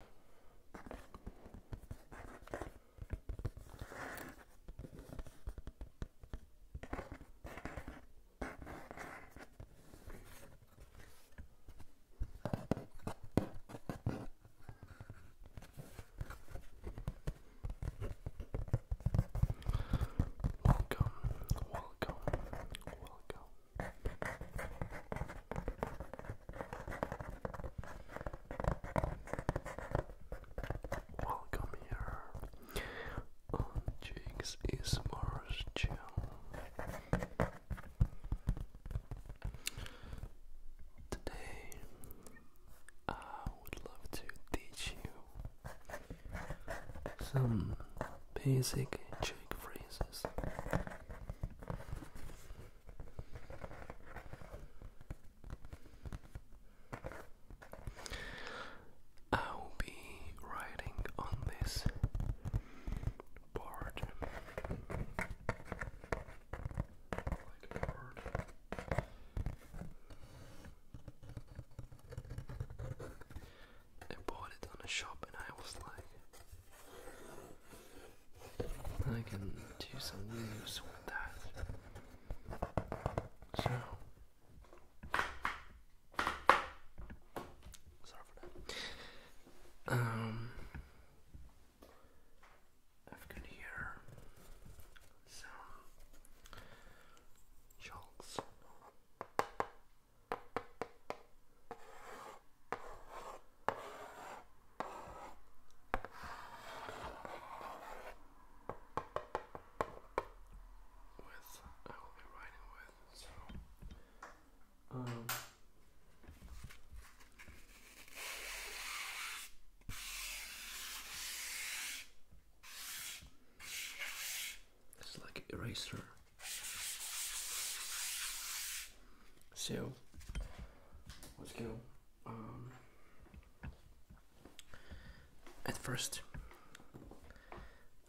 Welcome, welcome, welcome Welcome here on oh, Jake's Ismar's channel. Today, I would love to teach you some basic Czech phrases. I'll be writing on this board. Whiteboard. I bought it on a shop and I was like I can do some use with that. So sorry for that. Um I've got here some chalks with I will be writing with so um it's like eraser so Let's go. Um, at first,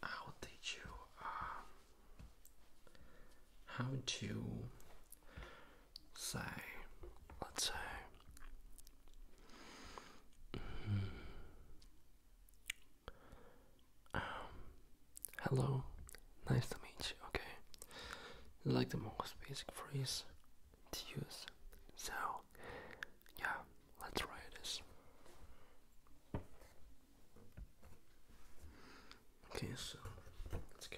I'll teach you uh, how to say, let's say. Mm-hmm, um, hello, nice to meet you, okay? Like the most basic phrase to use. So, yeah, let's try this. Okay, so let's go.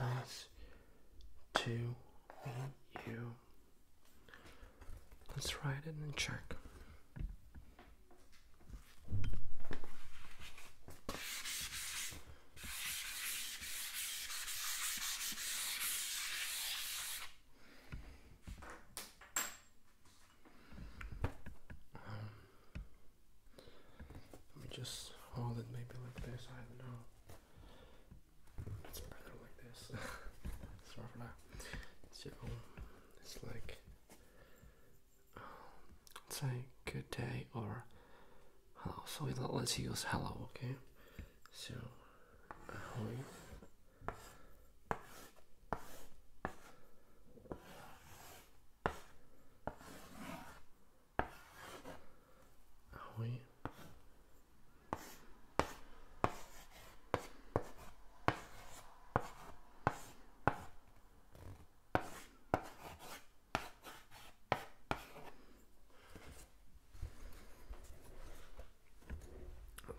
us two, and you. Let's write it and check. just hold it maybe like this, I don't know. It's better like this. So it's like um, say good day or hello. So we, let's use hello, okay? So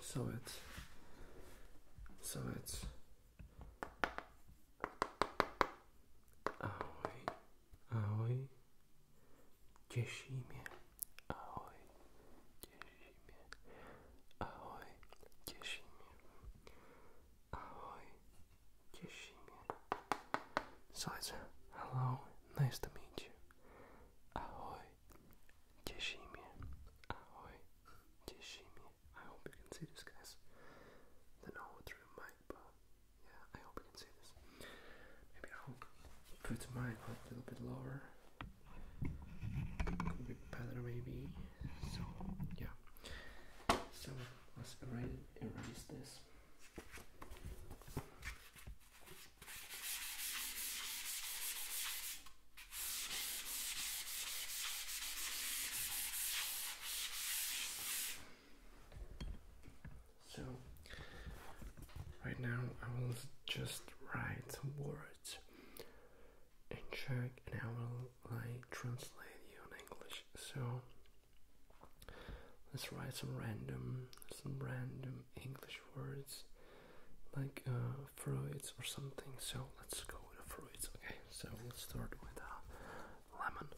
so it's so it's Aoi, Aoi, Cieszy mnie, ahoj, cieszy mnie, ahoj, cieszy mnie, hello, nice to meet you, ahoj, cieszy mnie, ahoj, I hope you can see this, guys. I do through the mic, but yeah, I hope you can see this. Maybe I'll put mine a little bit lower. Could be better maybe. So yeah. So let's erase this. So right now I will just write some words in Czech and I will like translate you in English. So let's write some random some random English words like uh, fruits or something. So let's go with the fruits, okay? So let's start with a lemon.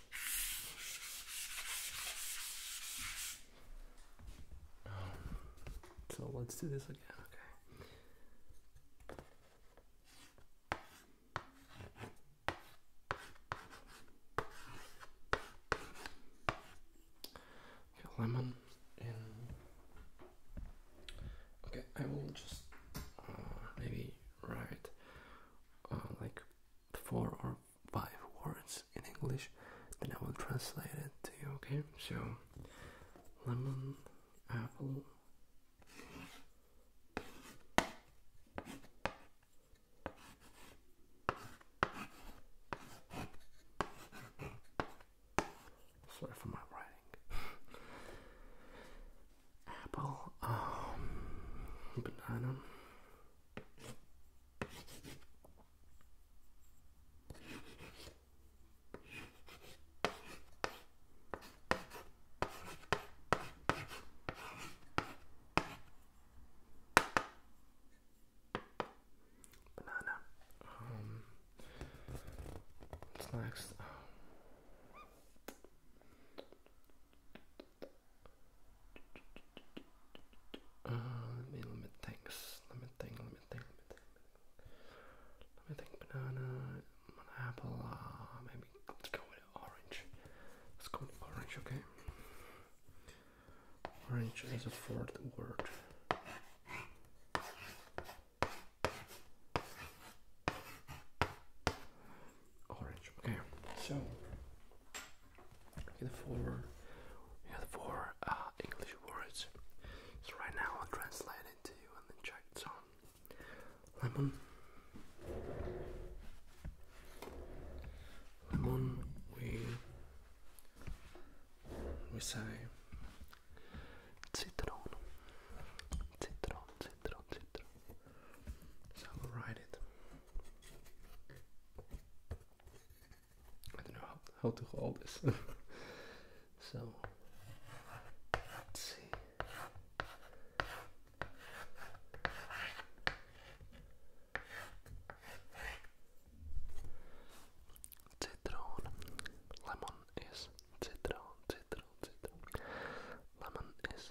Um, so let's do this again, okay. lemon okay, I will just uh, maybe write uh, like four or five words in English, then I will translate it to you, okay? So, lemon, apple, Sorry for my writing apple, um, banana. Banana. Um, next? Uh, let me think. Let me think. Let me think. Let me think. Let me think. Banana, apple. Uh, maybe let's go with orange. Let's go with orange. Okay. Orange is a fourth word orange. Okay, so here for here for uh, English words. So right now I'll translate it to you and then check it on lemon. Lemon, we we say citron, citron, citron, citron. So I will write it. I don't know how, to hold this. so let's see. Citron. Lemon is citron, citron, citron. Lemon is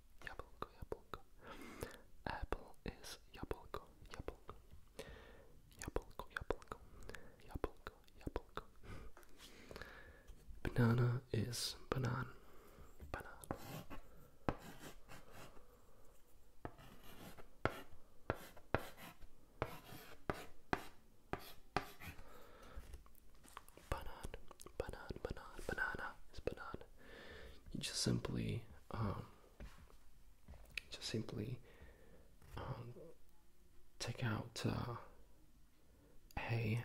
Яблоко, яблоко. Apple is яблоко, яблоко. Яблоко, яблоко. Яблоко, яблоко. Banana is banan. Banan. Banan, banan, banana is banan. You just simply, um, just simply um, take out uh, a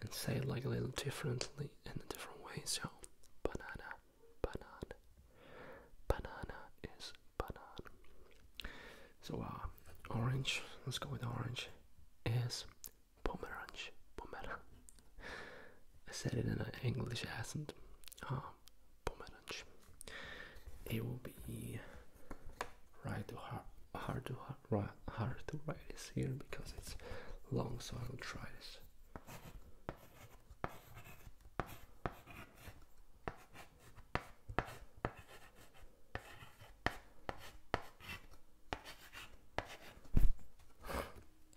and say it like a little differently in a different way. So, banana, banana, banana is banana. So, uh, orange. Let's go with orange. Is Pomeranch, Pomeranch. I said it in an English accent. Ah, Pomeranch. It will be right to hard, hard to hard, right, hard to write this here because it's long, so I will try this. I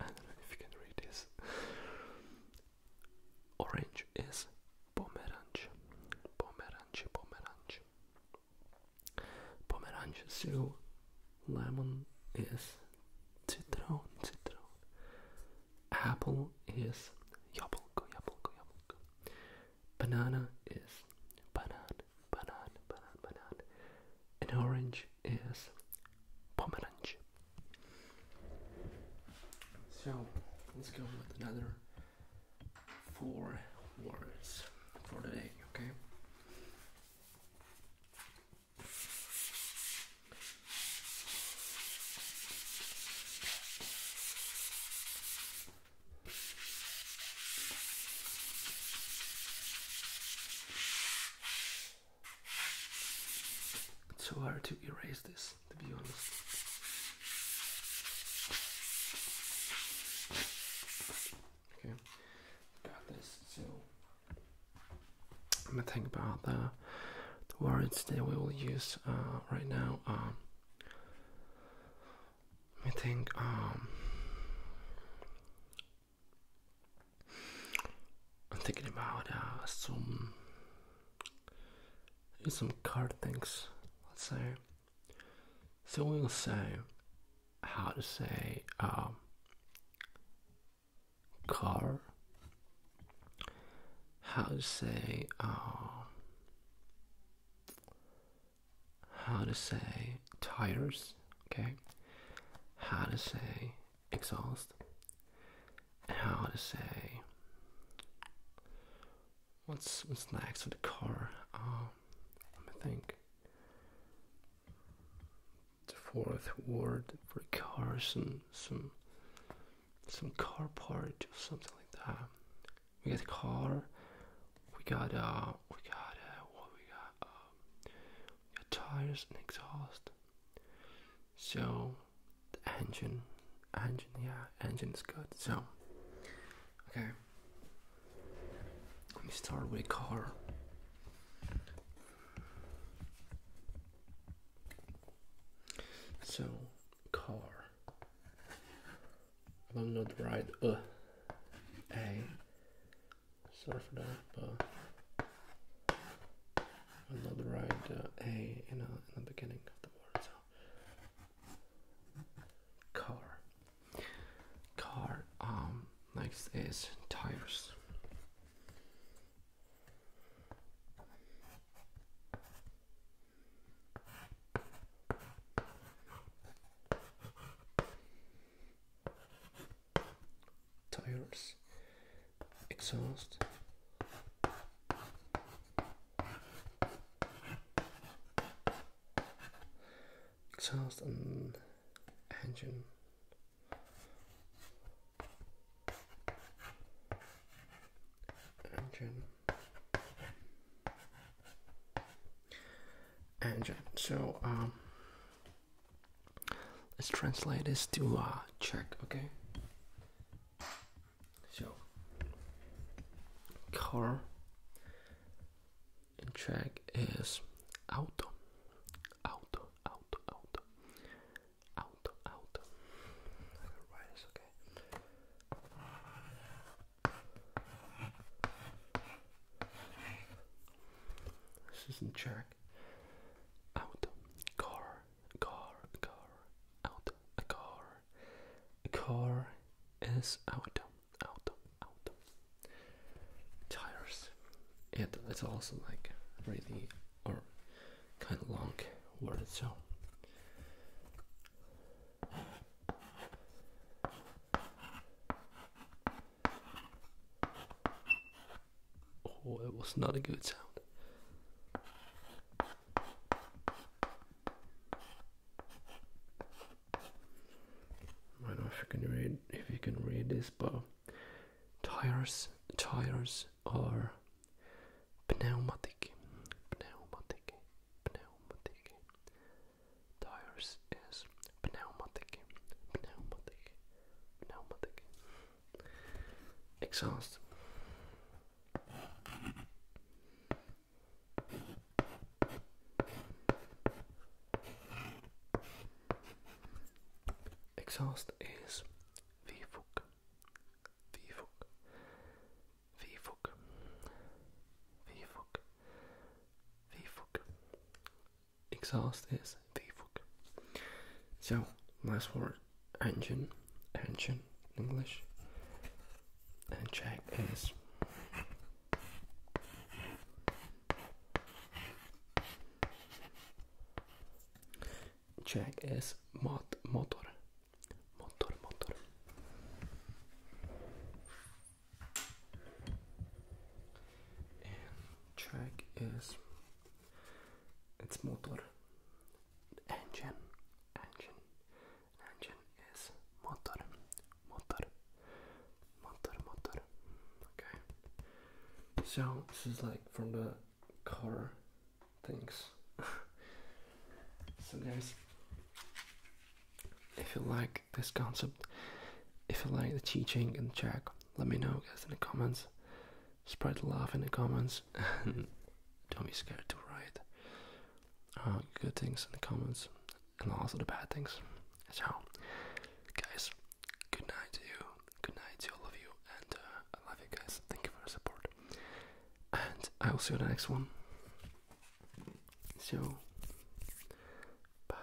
don't know if you can read this. Orange is pomerange. Pomerange, pomerange. Pomerange is lemon is citron, citron. Apple is jablko, jablko, jablko. Banana is banana banan, banan, banan. And orange is pomerange. So let's go with another four words for the day, okay? It's so hard to erase this, to be honest. Okay, got this. So I'm gonna think about the, the words that we will use uh, right now. Um, let me think. Um, I'm thinking about uh, some some car things. Let's say. So we'll say how to say um, car. How to say um, how to say tires okay? How to say exhaust how to say what's what's next for the car? Uh, let me think. The fourth word for cars and some some car part or something like that. We got car. We got uh, we got uh, what we got. Um, your tires and exhaust. So the engine, engine, yeah, engine is good. So okay, let me start with car. So car. I'm not right. Uh, a Sorry for that, but i uh, not write a, uh, in the beginning of the word. So car, car. Um, next is tires tires exhaust exhaust and engine engine engine so um Let's translate this to uh, check. okay? So, car in check is auto, auto, auto, auto, auto, auto. I got write this, okay? This is in check back. car, car, car, out, car, car is out, out, out. Tires. It, it's also like really or kind of long word, so. Oh, it was not a good sound. I don't know if you can read if you can read this, but tires tires are pneumatic, pneumatic, pneumatic. Tires is pneumatic, pneumatic, Nou ik. Exhaust. Exhaust is wievoek, wievoek, wievoek, wievoek, wievoek, exhaust is Vfuk. So last word engine, engine English, and check is. Check is mot motor, motor, motor and track is its motor engine engine engine is motor motor motor motor okay so this is like from the car things so guys if you like this concept if you like the teaching and track let me know, guys, in the comments. Spread love in the comments. and Don't be scared to write uh, good things in the comments and also the bad things. So, guys, good night to you. Good night to all of you. And uh, I love you guys. Thank you for your support. And I will see you in the next one. So, bye.